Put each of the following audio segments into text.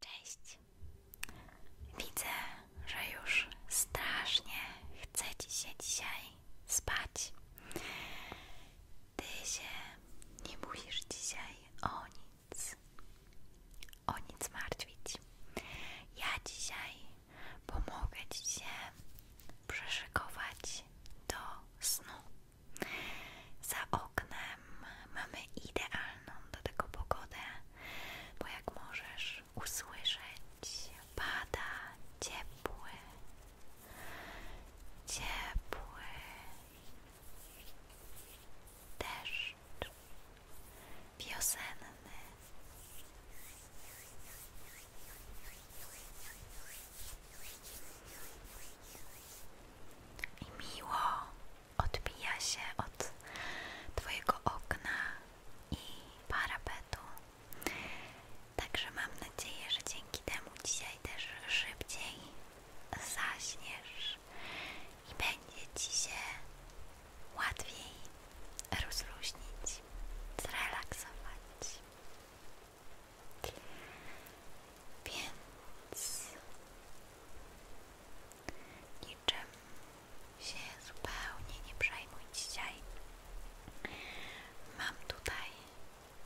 Cześć. Widzę, że już strasznie chce ci się dzisiaj spać. Ty się nie musisz dzisiaj o nic, o nic martwić. Ja dzisiaj pomogę ci się przeszykować do snu. Za oknem mamy idealną do tego pogodę, bo jak możesz usłyszeć, pada ciepły, ciepły deszcz wiosenny. I miło odbija się od Twojego okna i parapetu. Także mam nadzieję, że dzięki temu dzisiaj też szybciej zaśniesz i będzie Ci się łatwiej rozluźnić, zrelaksować. Więc niczym się zupełnie nie przejmuj dzisiaj. Mam tutaj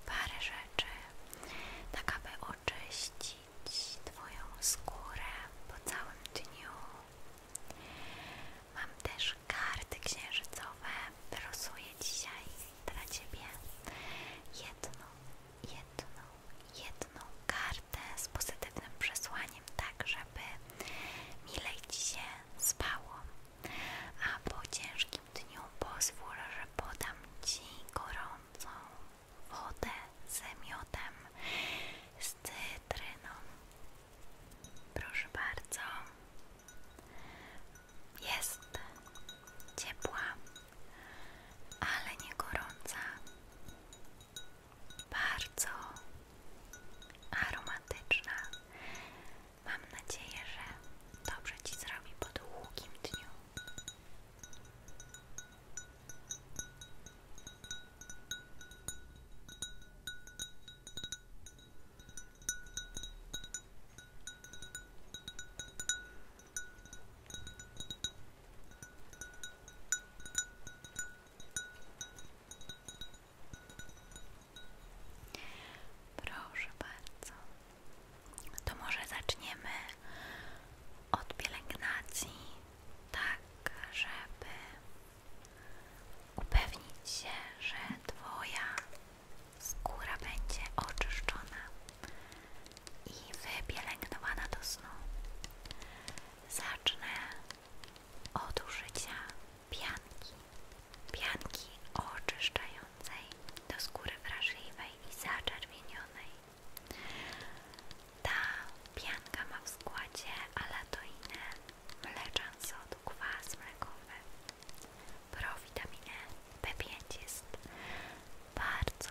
parę rzeczy, tak aby oczyścić Twoją skórę po całym dniu. Mam też karty księżycowe, wyrosuję dzisiaj dla Ciebie jedną, jedną, jedną kartę z pozytywnym przesłaniem, tak żeby milej Ci się spało. A po ciężkim dniu pozwól, że podam Ci gorącą wodę ze miotem z cytryną. Proszę bardzo. Jest ciepła, ale nie gorąca bardzo aromatyczna. Mam nadzieję, że dobrze Ci zrobi po długim dniu. Proszę bardzo. To może zaczniemy od pielęgnacji, tak żeby upewnić się, że Twoja skóra będzie oczyszczona i wypielęgnowana do snu. Zacznę od użycia pianki. Pianki oczyszczającej do skóry wrażliwej i zaczerwienionej. Ta pianka ma w składzie alatoinę, mleczan sodu, kwas mlekowy, prowitaminę B5 bardzo,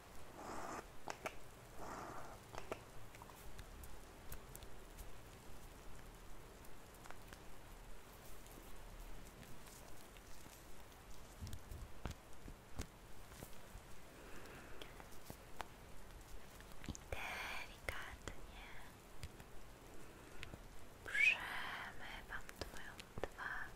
Delikatnie przemywam Twoją twarz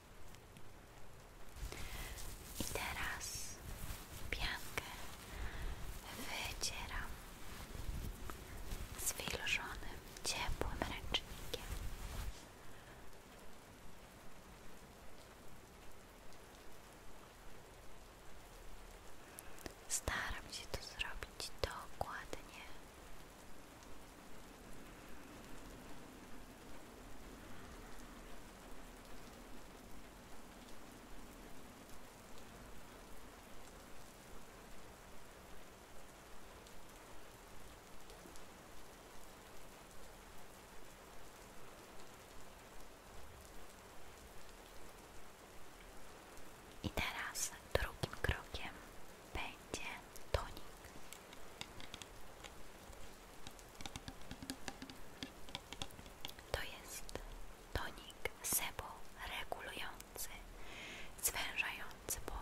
I teraz piankę wycieram zwilżonym, ciepłym ręcznikiem. Staram się to zrobić dokładnie. I teraz drugim krokiem będzie tonik. To jest tonik sebo regulujący, zwężający pory.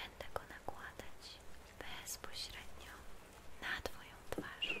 Będę go nakładać bezpośrednio na Twoją twarz.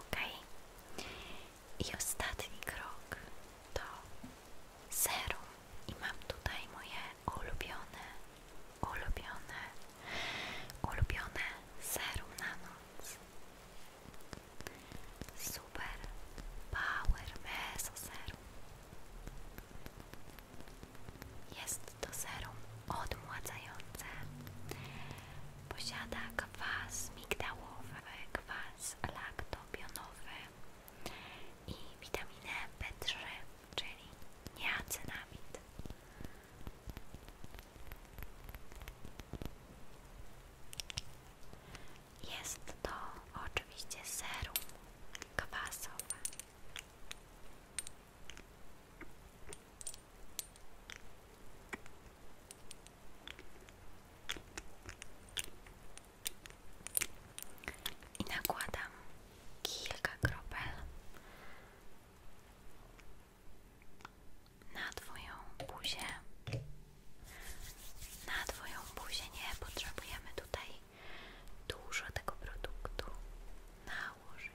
Ok. I ostatni krok to serum. I mam tutaj moje ulubione, ulubione, ulubione serum na noc. Super Power Meso Serum. Jest to serum odmładzające. Posiada kwas migdałowy, kwas laktobionowy i witaminę B3, czyli niacinamid. Jest to oczywiście serum kwasowe. I nakładam kilka kropel na Twoją buzię. Na Twoją buzię nie potrzebujemy tutaj dużo tego produktu nałożyć.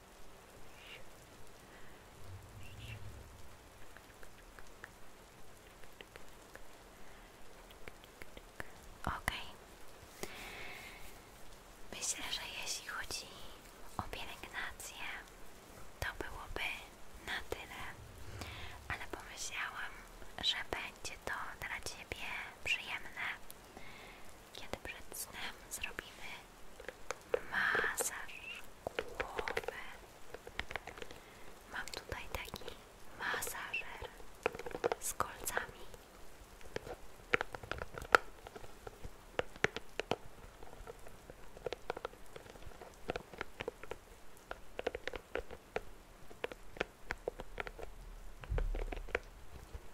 Ok. Myślę, że jeśli chodzi o pielęgnację, to byłoby na tyle, ale pomyślałam, że będzie to dla Ciebie przyjemne, kiedy przed snem zrobimy masaż głowy. Mam tutaj taki masażer z kolcami.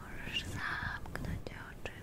Możesz zamknąć oczy. Dobrze.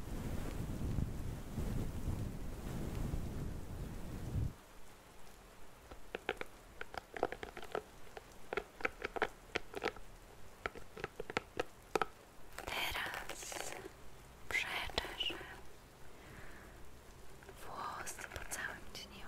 Teraz przeczerzę włosy po całym dniu.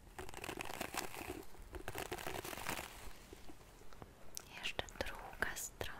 Jeszcze druga strona.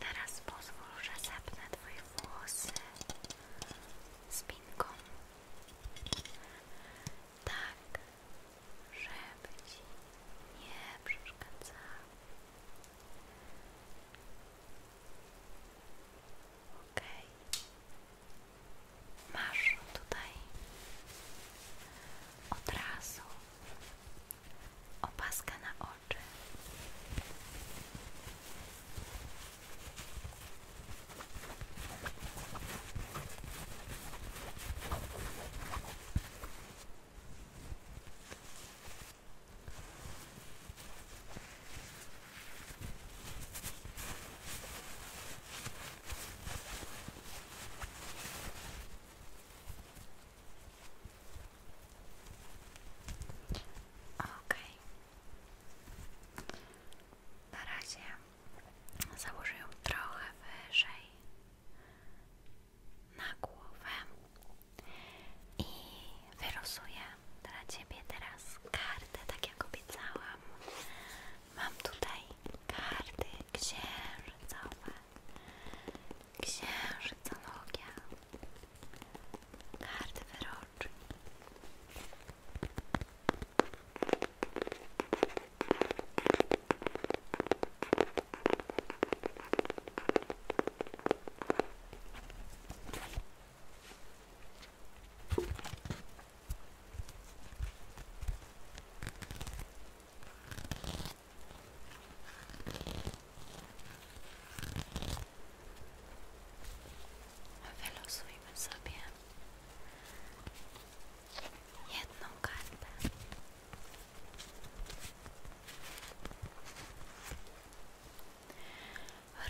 Teraz pozwól, że zapnę Twoje włosy z spinką. Tak, żeby Ci nie przeszkadzało. Okej masz tutaj od razu opaskę na oczy. Okej. Na razie założę trochę wyżej na głowę i wyrosuję dla Ciebie teraz kartę, tak jak obiecałam. Mam tutaj kartę księżycowe, księżycologia, karty wyroczne. Wylosujmy sobie jedną kartę.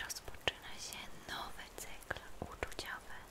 Rozpoczyna się nowy cykl uczuciowy.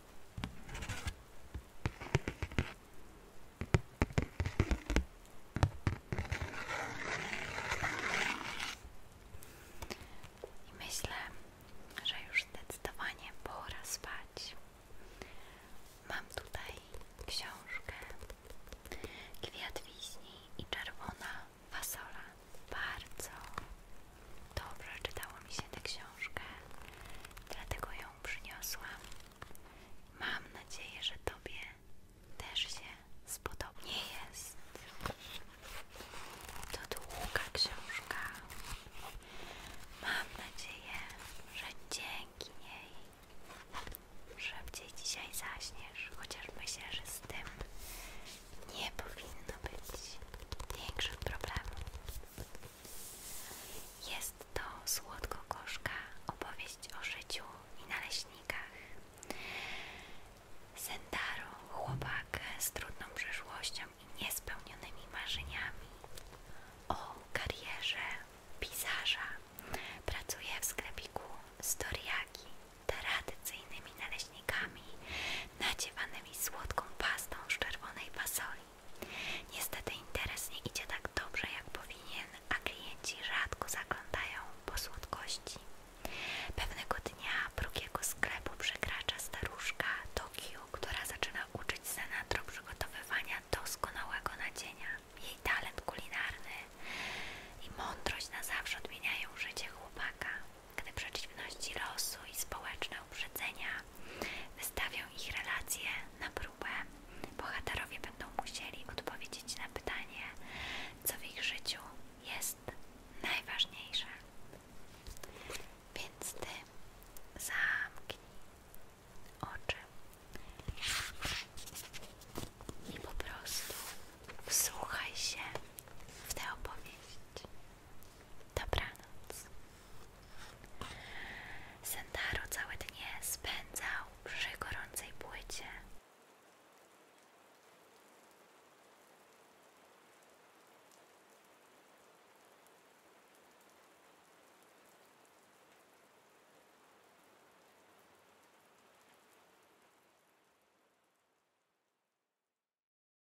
myślę, że już zdecydowanie pora spać. Mam tutaj książkę Kwiat Wiśni i Czerwona Fasola bardzo dobrze czytało mi się tę książkę, dlatego ją przyniosłam. Mam nadzieję, że Tobie też się spodobnie jest to długa książka. Mam nadzieję, że dzięki niej szybciej dzisiaj zaśniesz, chociaż myślę, że z tym nie powinno być większych problemów. Jest to słodko-gorzka opowieść o życiu i naleśnikach. Sendaro, chłopak z trudną przeszłością i niespełnionymi marzeniami o karierze pisarza, pracuje w sklepiku z toriaki, tradycyjnymi naleśnikami nadziewanymi słodką pastą z czerwonej fasoli. Niestety interes nie idzie tak dobrze jak powinien, a klienci rzadko zaglądają po słodkości. Pewnego dnia drugiego sklepu przekracza staruszka Tokio, która zaczyna uczyć Senatro przygotowywania doskonałego nadzienia. Jej talent kulinarny i mądrość na zawsze odmieniają życie chłopaka gdy przeciwności losu i społeczne uprzedzenia wystawią ich relacje na próbę, bohaterowie będą musieli odpowiedzieć na pytanie, co w ich życiu jest najważniejsze. Więc ty zamknij oczy i po prostu wsłuchaj się w tę opowieść. Dobranoc. Sentaro całe dnie spędzał przy gorącej płycie.